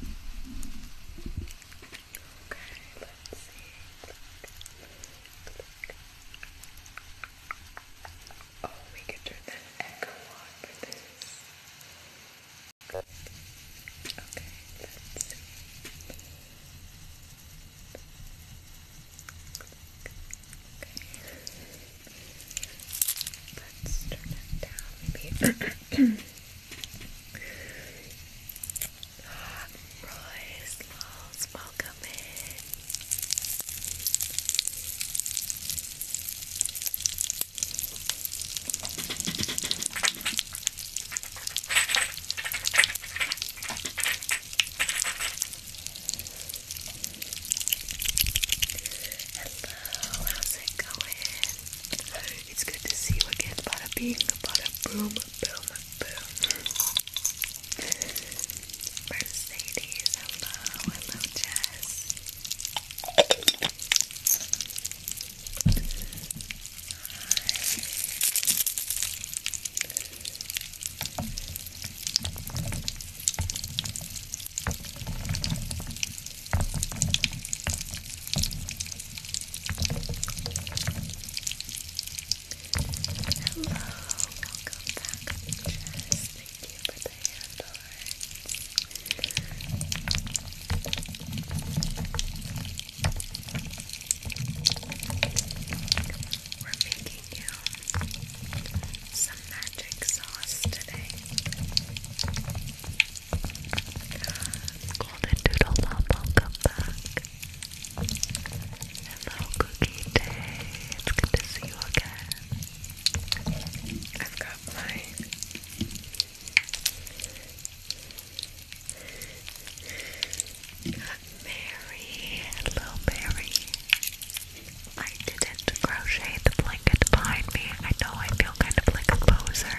Okay, let's see. Oh, we could turn that echo on for this. Okay, let's see. Let's turn it down, maybe. Royce welcome in. Hello, how's it going? It's good to see you again. Bada bing, bada boom, boom, boom. Mercedes, hello, hello, Jess. Hi. Hello, welcome back, Jess. Thank you for the handle. We're making you some magic sauce today. Golden Doodle welcome back. Hello, Cookie Day. It's good to see you again. I've got my Mary. Hello, Mary. I didn't crochet the blanket behind me. I know I feel kind of like a poser.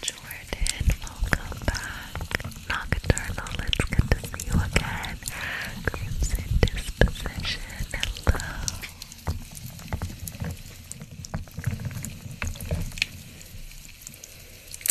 Jordan, welcome back. Nocturnal, it's good to see you again. Crimson Disposition, hello.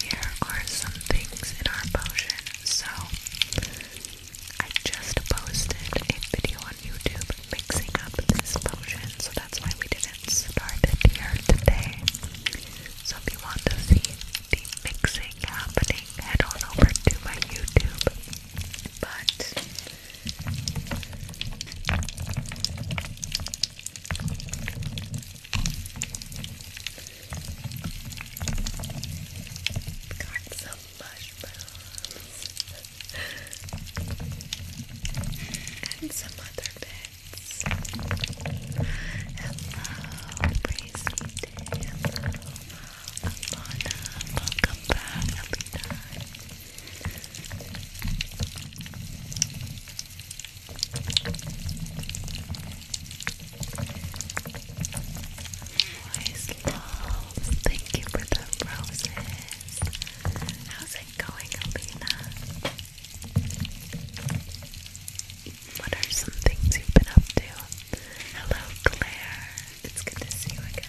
Here are some things in our potion. So, I just posted a video on YouTube mixing up this potion, so that's why we didn't start it here today. if you want to see the mixing happening, head on over to my YouTube. But Got some mushrooms and some other bits. Hello, crazy day. Hello, Welcome back, Nice loves. Thank you for the roses. How's it going, Alina? What are some things you've been up to? Hello, Claire. It's good to see you again.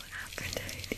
Aphrodite. Aphrodite.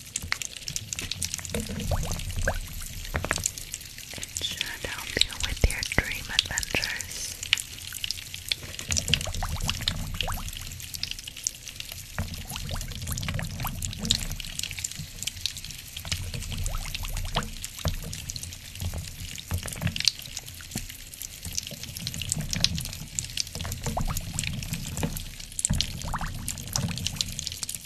It should help you with your dream adventures.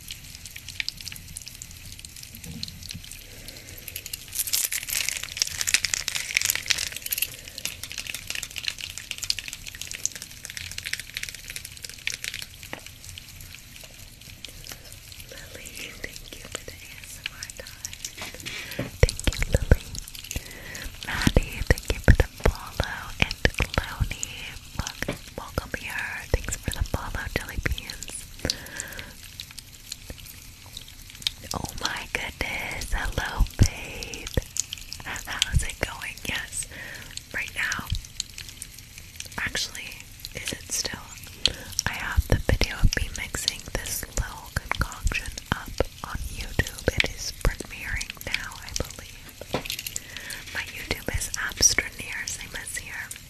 Lily, thank you for the ASMR time. Thank you, Lily. Maddie, thank you for the follow. And Cloney, welcome, welcome here. Thanks for the follow, Jelly Oh my goodness. Hello, babe. How's it going? Yes. Right now. Actually, is it still? I have the video of me mixing this little concoction up on YouTube. It is premiering now, I believe. My YouTube is Abstraneer, same as here.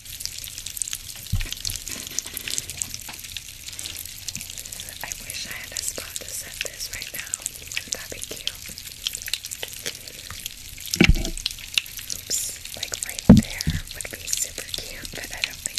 I wish I had a spot to set this right now. Wouldn't that be like right there would be super cute, but I don't think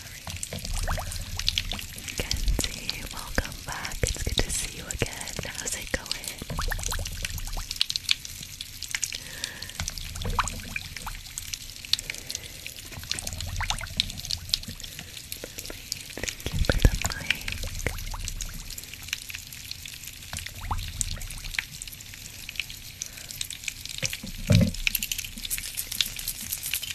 sorry. Kenzie, welcome back. It's good to see you again. How's it going? thank you for the mic.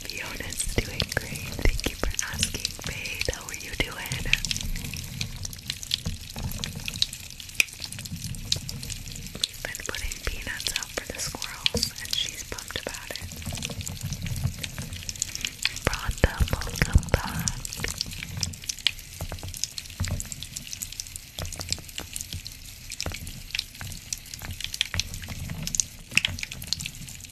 Fiona's doing great. Thank you for asking, Faith. How are you doing? We've been putting peanuts out for the squirrels, and she's pumped about it. Rhonda, welcome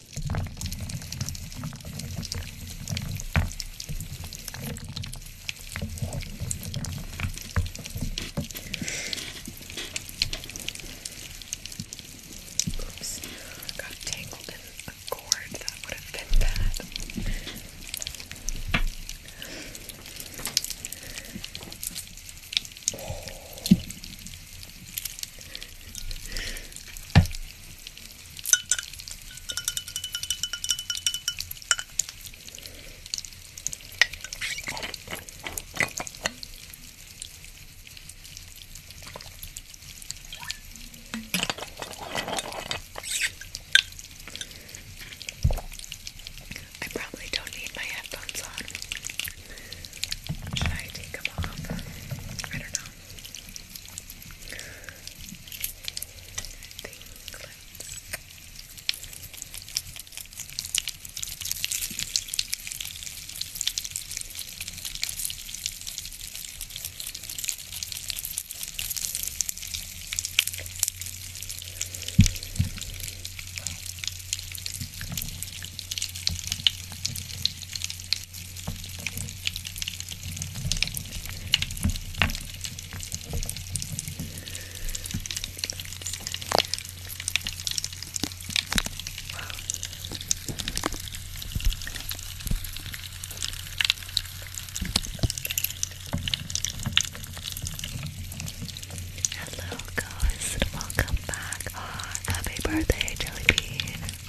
Oops, got tangled in a cord. That would have been bad. Oh. I probably don't need my headphones on. Should I take them off? I don't know. think Hello, guys, welcome back. Ah, happy birthday, Jelly Bean.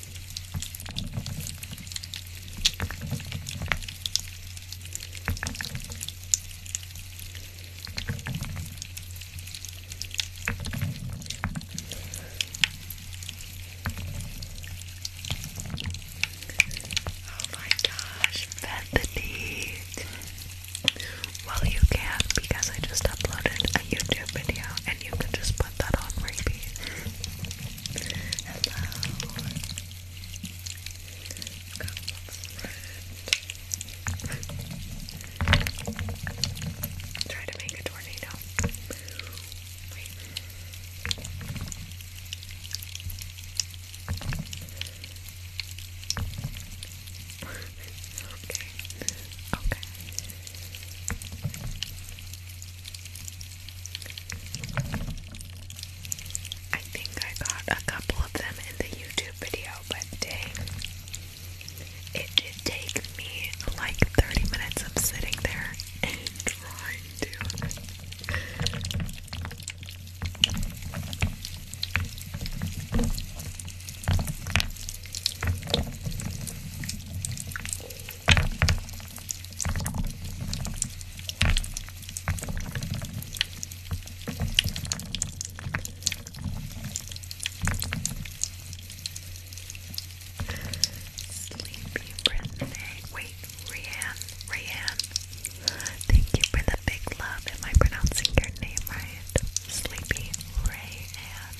Oh my gosh, Bethany. Well, you can because I just uploaded a YouTube video and you can just put that on repeat. Hello. Try to make a tornado. okay. Okay. I think I got a couple of them in the YouTube video, but dang, it did take me like 30 minutes of sitting there and trying to. Sleepy birthday. Wait, Rianne, Rianne. Thank you for the big love. Am I pronouncing your name right? Sleepy Rayanne.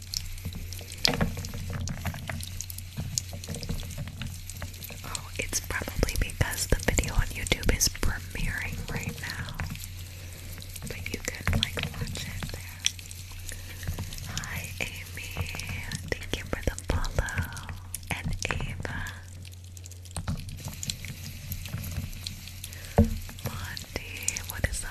Oh, it's probably because the video on YouTube is premiering right now. But you could like watch it there. Hi Amy. Thank you for the follow. And Ava. Christy, what is up?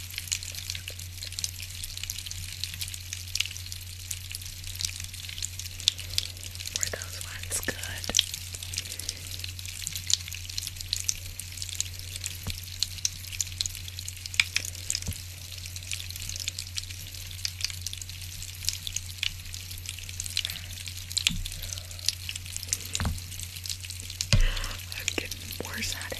Were those ones good? I'm getting worse at it. Um,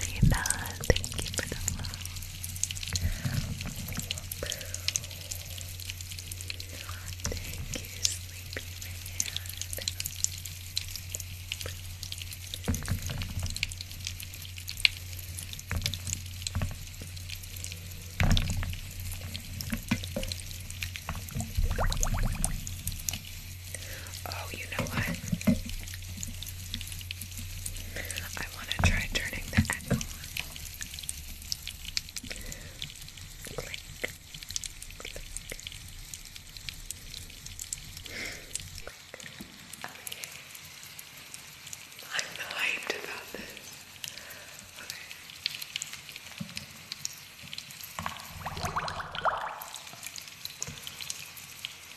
Lena. Thank you for the love. Thank you, sleepy man. Oh, you know what? I want to try turning the echo on. Click. Click. I'm hyped about this.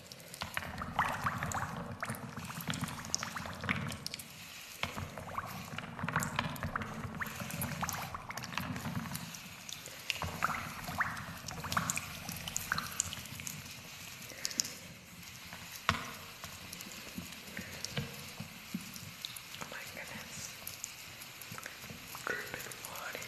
Oh my goodness. Dripping body.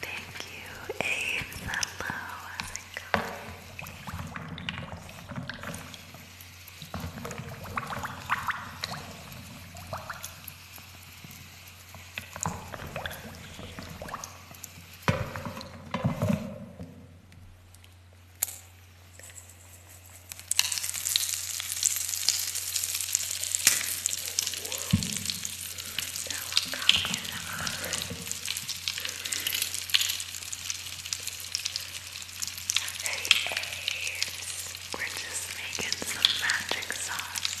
Thank you, Ames. Hello, how's it going? Hey, hey, we're just making some magic sauce.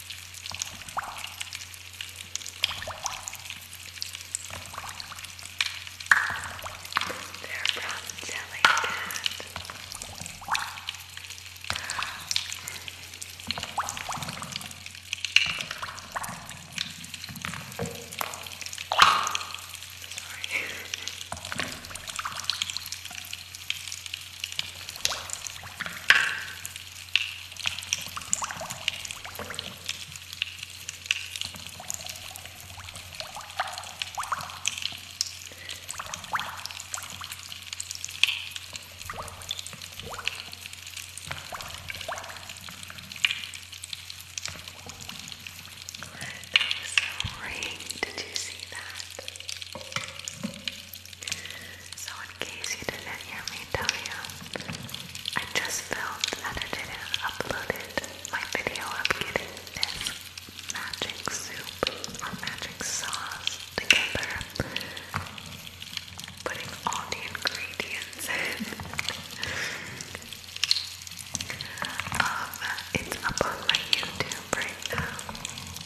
They're from Jellycat. Sorry. That was so ring. Did you see that? So in case you didn't hear me tell you, I just filmed and I didn't upload it. My video of getting this magic soup or magic sauce together. Putting all the ingredients in. um, it's up on my YouTube right now.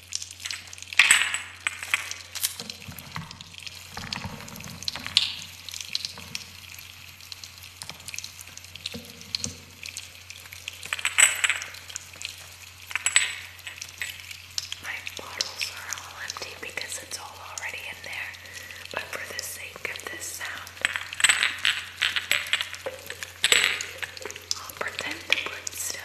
My bottles are all empty because it's all already in there, but for the sake of this sound, I'll pretend to put still.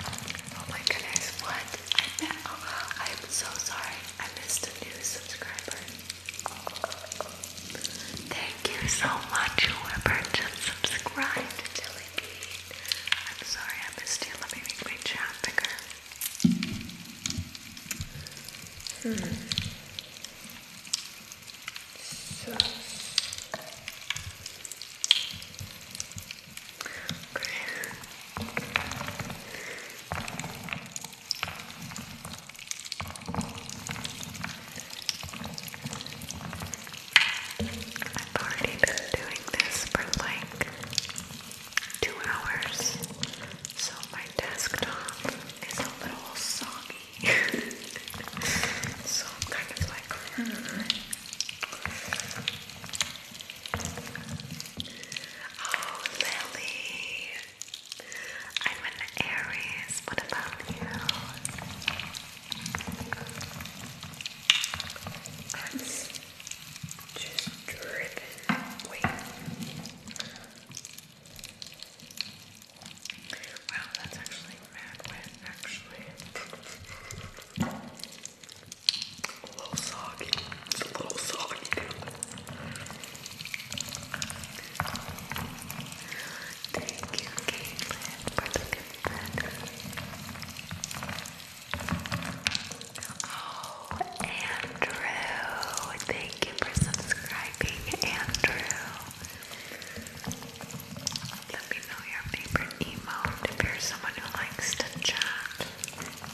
Oh my goodness, what? I am so sorry. I missed a new subscriber. Thank you so much, whoever just subscribed to I'm sorry I missed you. Let me make my chat bigger. Hmm. So. I've already been doing this for like two hours, so my desktop is a little soggy. so I'm kind of like, hmm. Oh, Lily. I'm an Aries. What about you? I'm just dripping. Wow, that's actually mad wet, actually. A little soggy. It's a little soggy Thank you, Caitlin, for the gift. Oh, Andrew. Thank you for subscribing, Andrew. Let me know your favorite emote if you someone who likes to chat.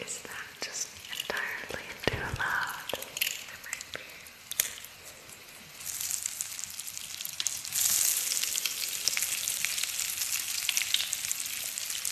Is that just entirely too loud? It might be.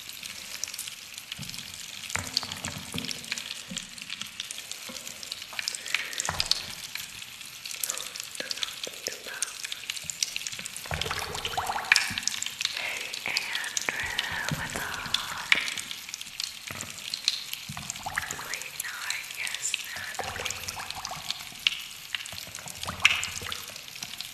Hey Andrew, what's up? Leonard, yes, Natalie.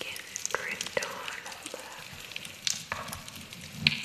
Get gripped on the Okay.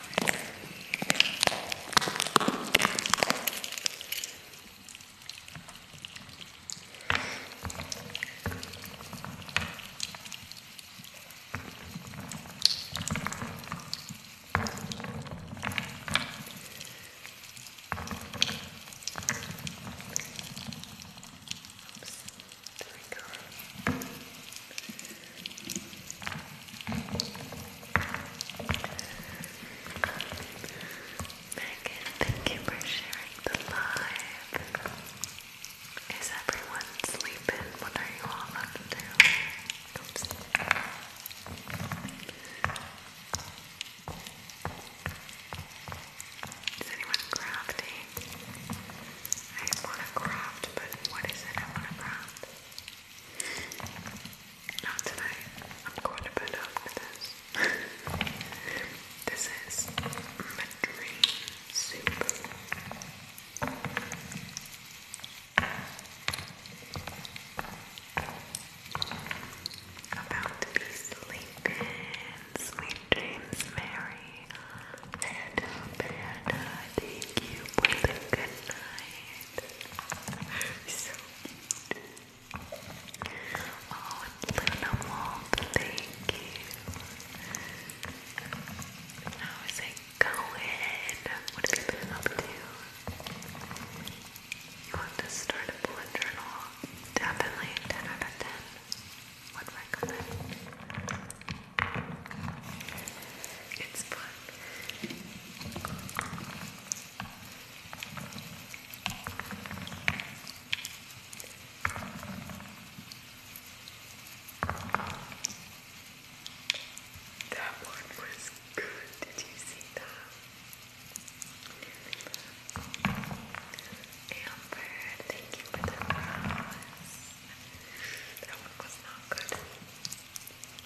Oops. There we go. Megan, thank you for sharing the live. Is everyone sleeping? What are you all up to? Is anyone crafting? I want to craft, but what is it I want to craft? Now tonight, I'm going to bed after this. this is my dream About to be sleeping. Sweet dreams, Mary. Panda, Panda, thank you for the good night so cute. Oh, Luna Wolf, thank you. How is um, it going? What have been up to? You want to start a bullet journal? Definitely 10 out of 10. Would recommend it's fun. That one was good. Did you see that? Amber, thank you for the rose. That one was not good.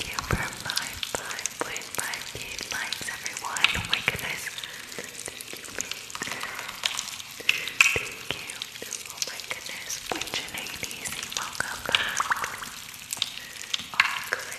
Thank you for 55 likes, everyone. Oh my goodness. Thank you. Oh my goodness. Which ladies, welcome back. All clear.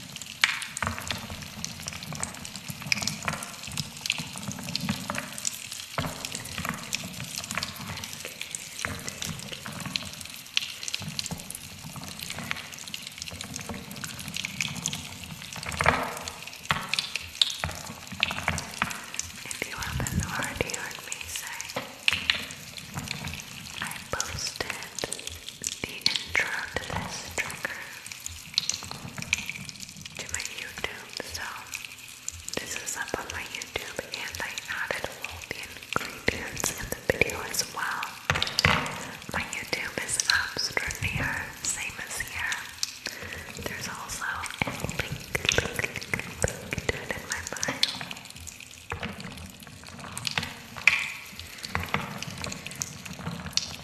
If you haven't already heard me say, I posted the intro to this trigger to my YouTube, so this is up on my YouTube, and I added all the ingredients in the video as well. My YouTube is Abstraneer, same as here. There's also a link to it in my bio.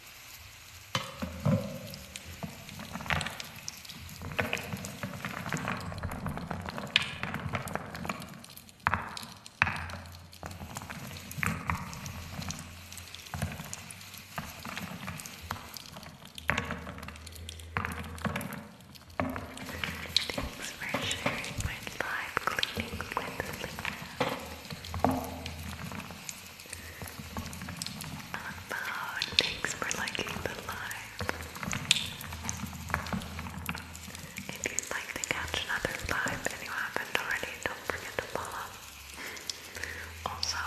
Thanks for sharing my live cleaning with Leah. About. Thanks for liking the live. If you'd like to catch another live and you haven't already, don't forget to follow. Also,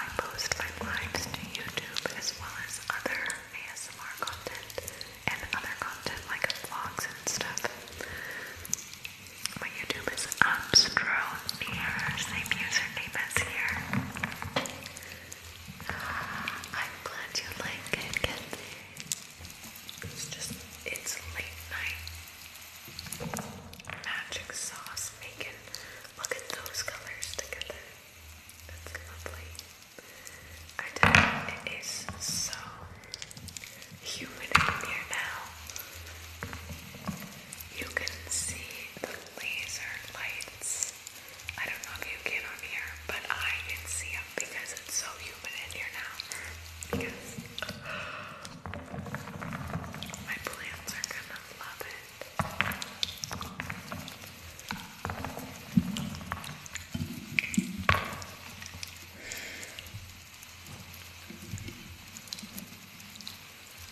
I post my lives to YouTube as well as other ASMR content and other content like vlogs and stuff. My YouTube is Abstroneer, same username as here. I'm glad you like it, It's just, it's late night. Magic sauce making. Look at those colors together. That's lovely. I tell you, it is so humid here now you can see the laser lights. I don't know if you can on here, but I can see them because it's so humid in here now. Because my plants are gonna love it.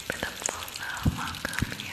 beautiful though. Welcome here.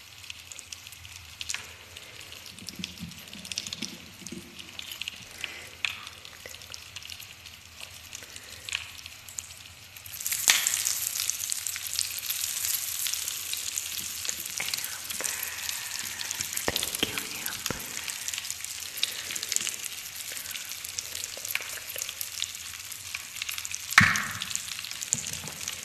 Thank you, Amber. Thank you,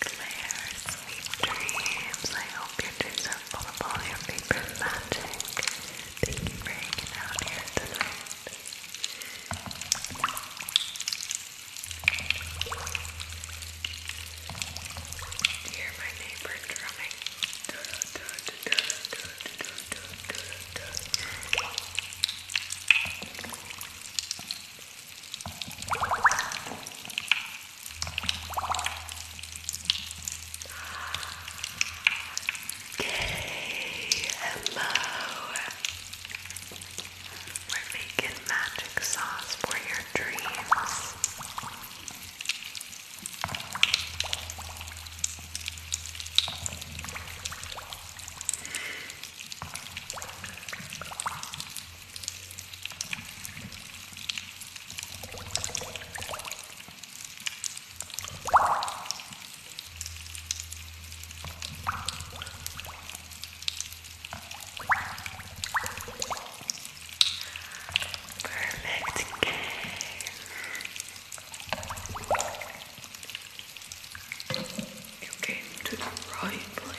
Claire, sweet dreams. I hope your dreams are full of all your favorite magic. Thank you for hanging out here tonight. Hear my neighbor drumming. Okay, hello. We're making magic sauce for your dreams. Perfect game. You came to the right place.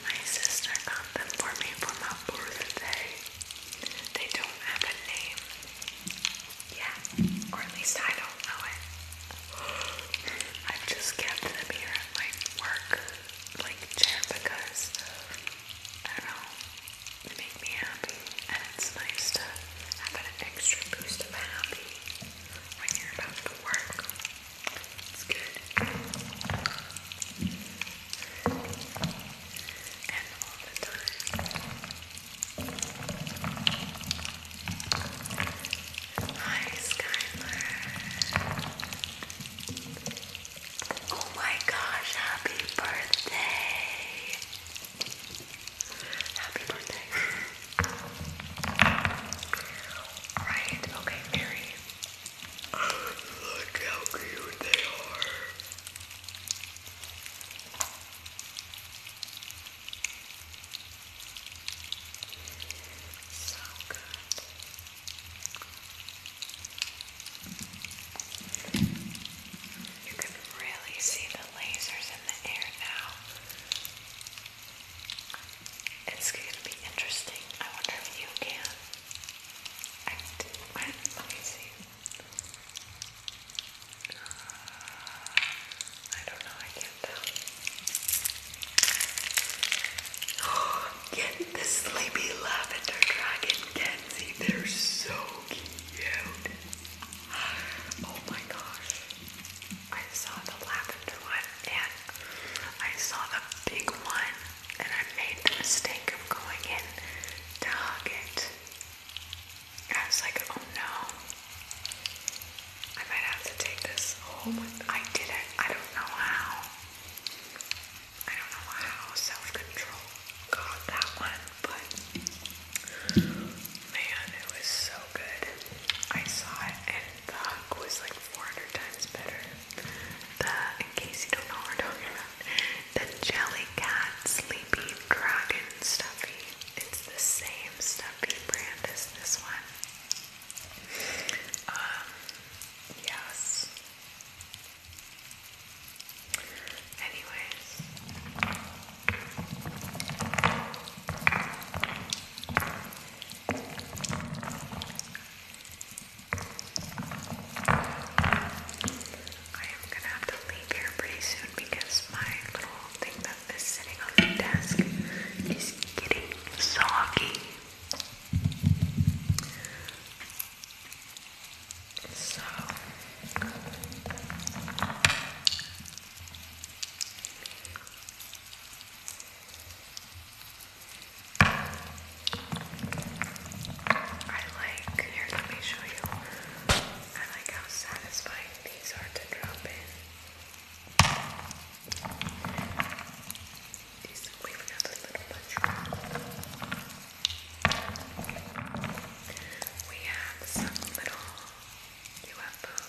My sister got them for me for my birthday. They don't have a name yet, or at least I don't know it. i just kept them here at my work, like chair, because I don't know, they make me happy, and it's nice to have an extra boost of happy when you're about to work. It's good. Hi, Skylar. Oh my gosh, happy birthday! Happy birthday. Alright, okay, Mary. Look how cute they are. So good. You can really see the lasers in the air now. It's going to be interesting. I wonder if you can. I when, let me I don't know, I can't tell. Oh, get the sleepy lavender dragon Kenzie. They're so cute. Oh my gosh. I saw the lavender one and I saw the big one and I made the mistake of going in to hug it. I was like, oh no, I might have to take this home. I did not I don't know how. I don't know how self-control got that one, but man, it was so good. I saw it and the hug was like 400 times better. The, in case you don't know what we're talking about. The Jelly Cat Sleepy Dragon Stuffy. It's the same stuffy brand as this one. Um, yes. Anyways. I am gonna have to leave here pretty soon because my little thing that is sitting on the desk is getting soggy. So I like, here let me show you, I like how satisfying these are to drop in. These, we've got a little bunch. We have some little UFOs.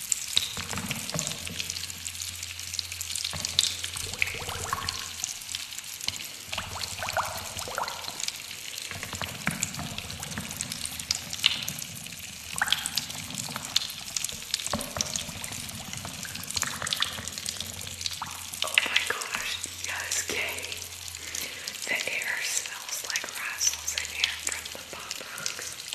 Oh my gosh, yes, Kay. The air smells like razzles in here from the pop box.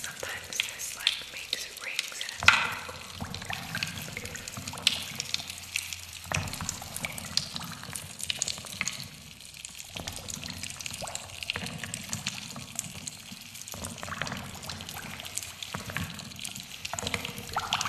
Sometimes this like makes rings and it's really cool. I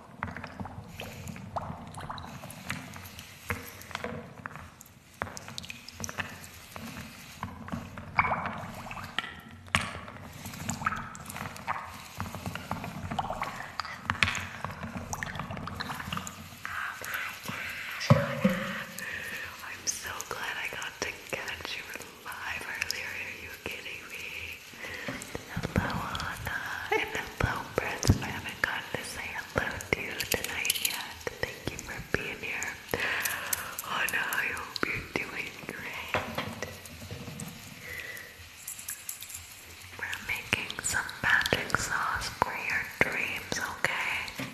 I'm so glad I got to catch you live earlier. Are you kidding me? Hello, Anna, and hello, Prince. I haven't gotten to say hello to you tonight yet. Thank you for being here. Anna, I hope you're doing great. We're making some magic sauce for your dreams, okay?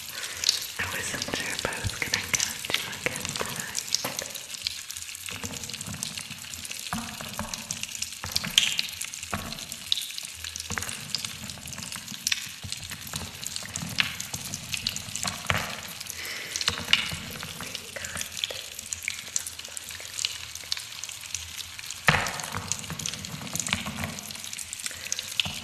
I wasn't sure if I was gonna catch you again tonight. I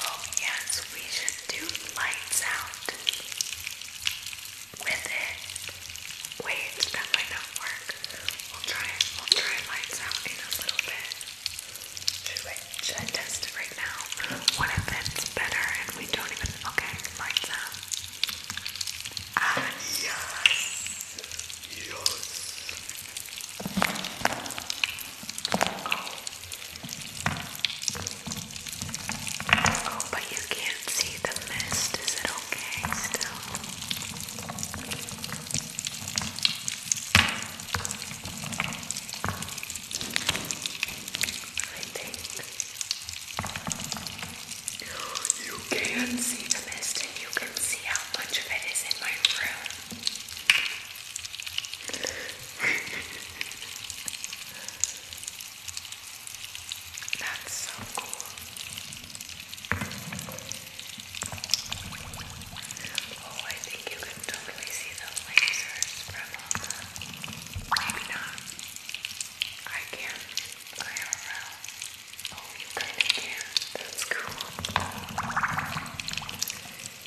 Oh, yes, we should do lights out with it. Wait, that might not work. We'll try it. We'll try lights out in a little bit. Should, we, right now? What if it's better and we don't even. Okay, lights out. Ah, yes! Yes! Oh, Oh, but you can't see the mist. Is it okay still? I think you can see the mist and you can see how much of it is in my room. That's so cool. Oh, I think you can totally see the lasers from all uh, the. Maybe not. I can't. I don't know. Oh, you kind of can. That's cool.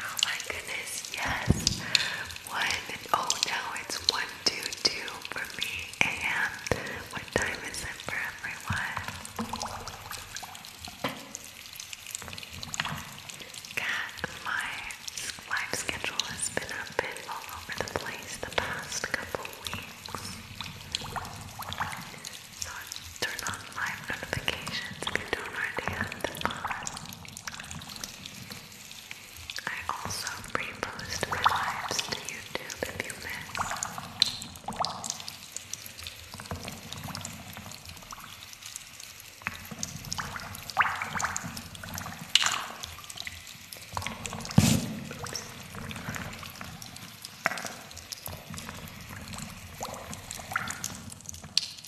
Oh my goodness, yes. One, oh no, it's 122 for me a.m. What time is it for everyone? God, my life schedule has been a bit all over the place the past couple weeks. So I turn on live notifications if you don't already have them I also repost my lives to YouTube if you miss.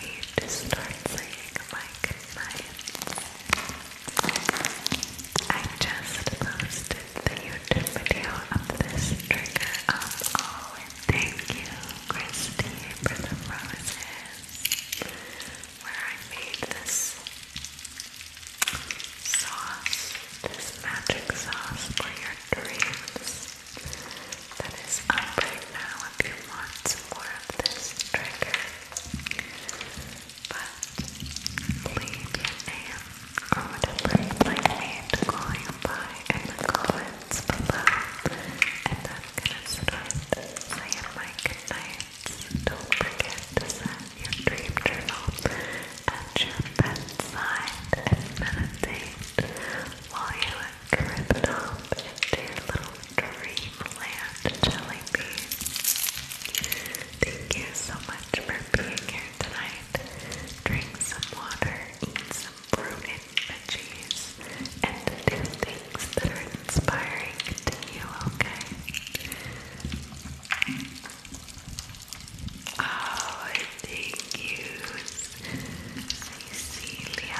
It is time for me to start saying my goodnights. I just posted the YouTube video of this trigger up. Oh, thank you, Christy, for the roses, where I made this sauce, this magic sauce for your dreams. That is up right now if you want some more of this trigger. But leave your name or whatever you'd like me to call you by in the comments below. And I'm gonna start saying my goodnights. Don't forget to set your dream journal at your bedside and meditate while you are cribbed off into your little Dreamland Jelly Thank you so much for being here tonight. Drink some water, eat some fruit and veggies, and do things that are inspiring to you, okay? Oh, thank you, Cecilia.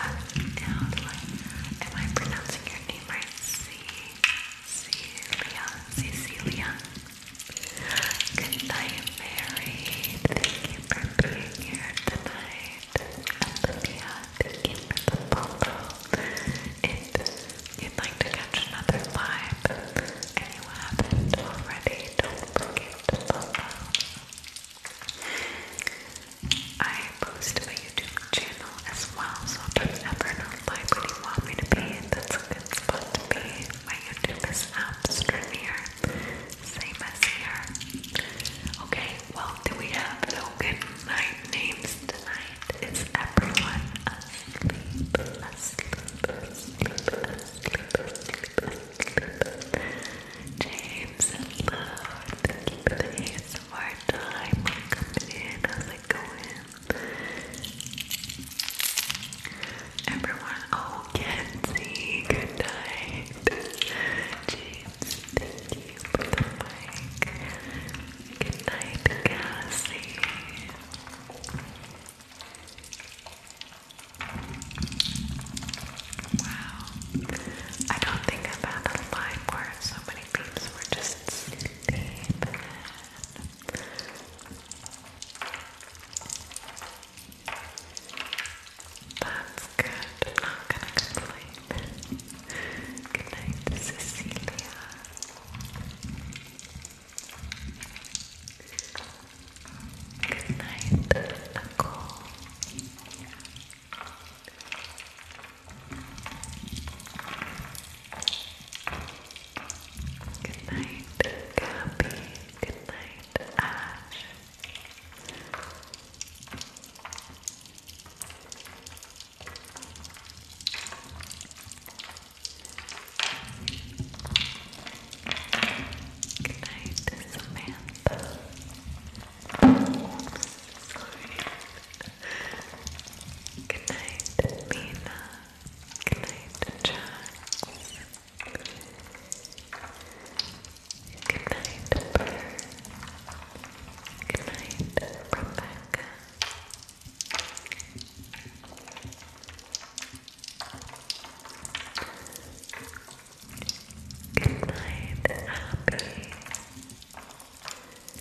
am I pronouncing your name right? C Cecilia, Cecilia. Good night, Mary. Thank you for being here tonight. Olivia, thank you for the follow. If you'd like to catch another live and you already, don't forget to follow. I post a YouTube channel as well, so don't ever know why would you want me to be. That's a good spot to be. My YouTube is Abstranier. Same as here. Okay, well do we have no night names tonight? Is everyone asleep? Asleep, asleep, asleep, asleep, asleep. James, hello. Thank you for the time. Welcome in. How's Everyone, oh, Kenzie, good night. James, thank you for the mic. Good Cassie. Wow. I don't think I've had a live where so many peeps were just deep in. That's good. not gonna complain. Good night, Cecilia. Good night, Nicole. Good night, Gabby. Good night, Ash. Good night, Samantha. Good night, Lena. Good night, Jax. Good night, Burr. Good night, Rebecca. Good night, Happy.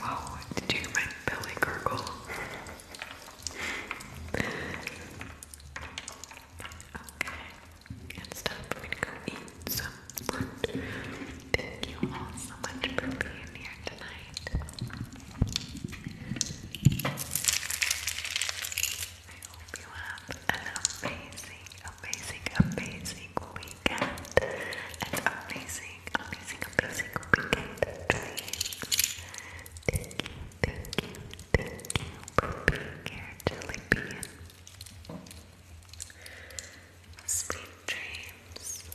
Wow, did you hear belly gurgle? okay, it's time for go eat some lunch. Thank you all so much for being here tonight. I hope you have an amazing, amazing, amazing weekend. An amazing, amazing, amazing weekend Thank you, thank you, thank you for being here, Jellybean. Sweet dreams.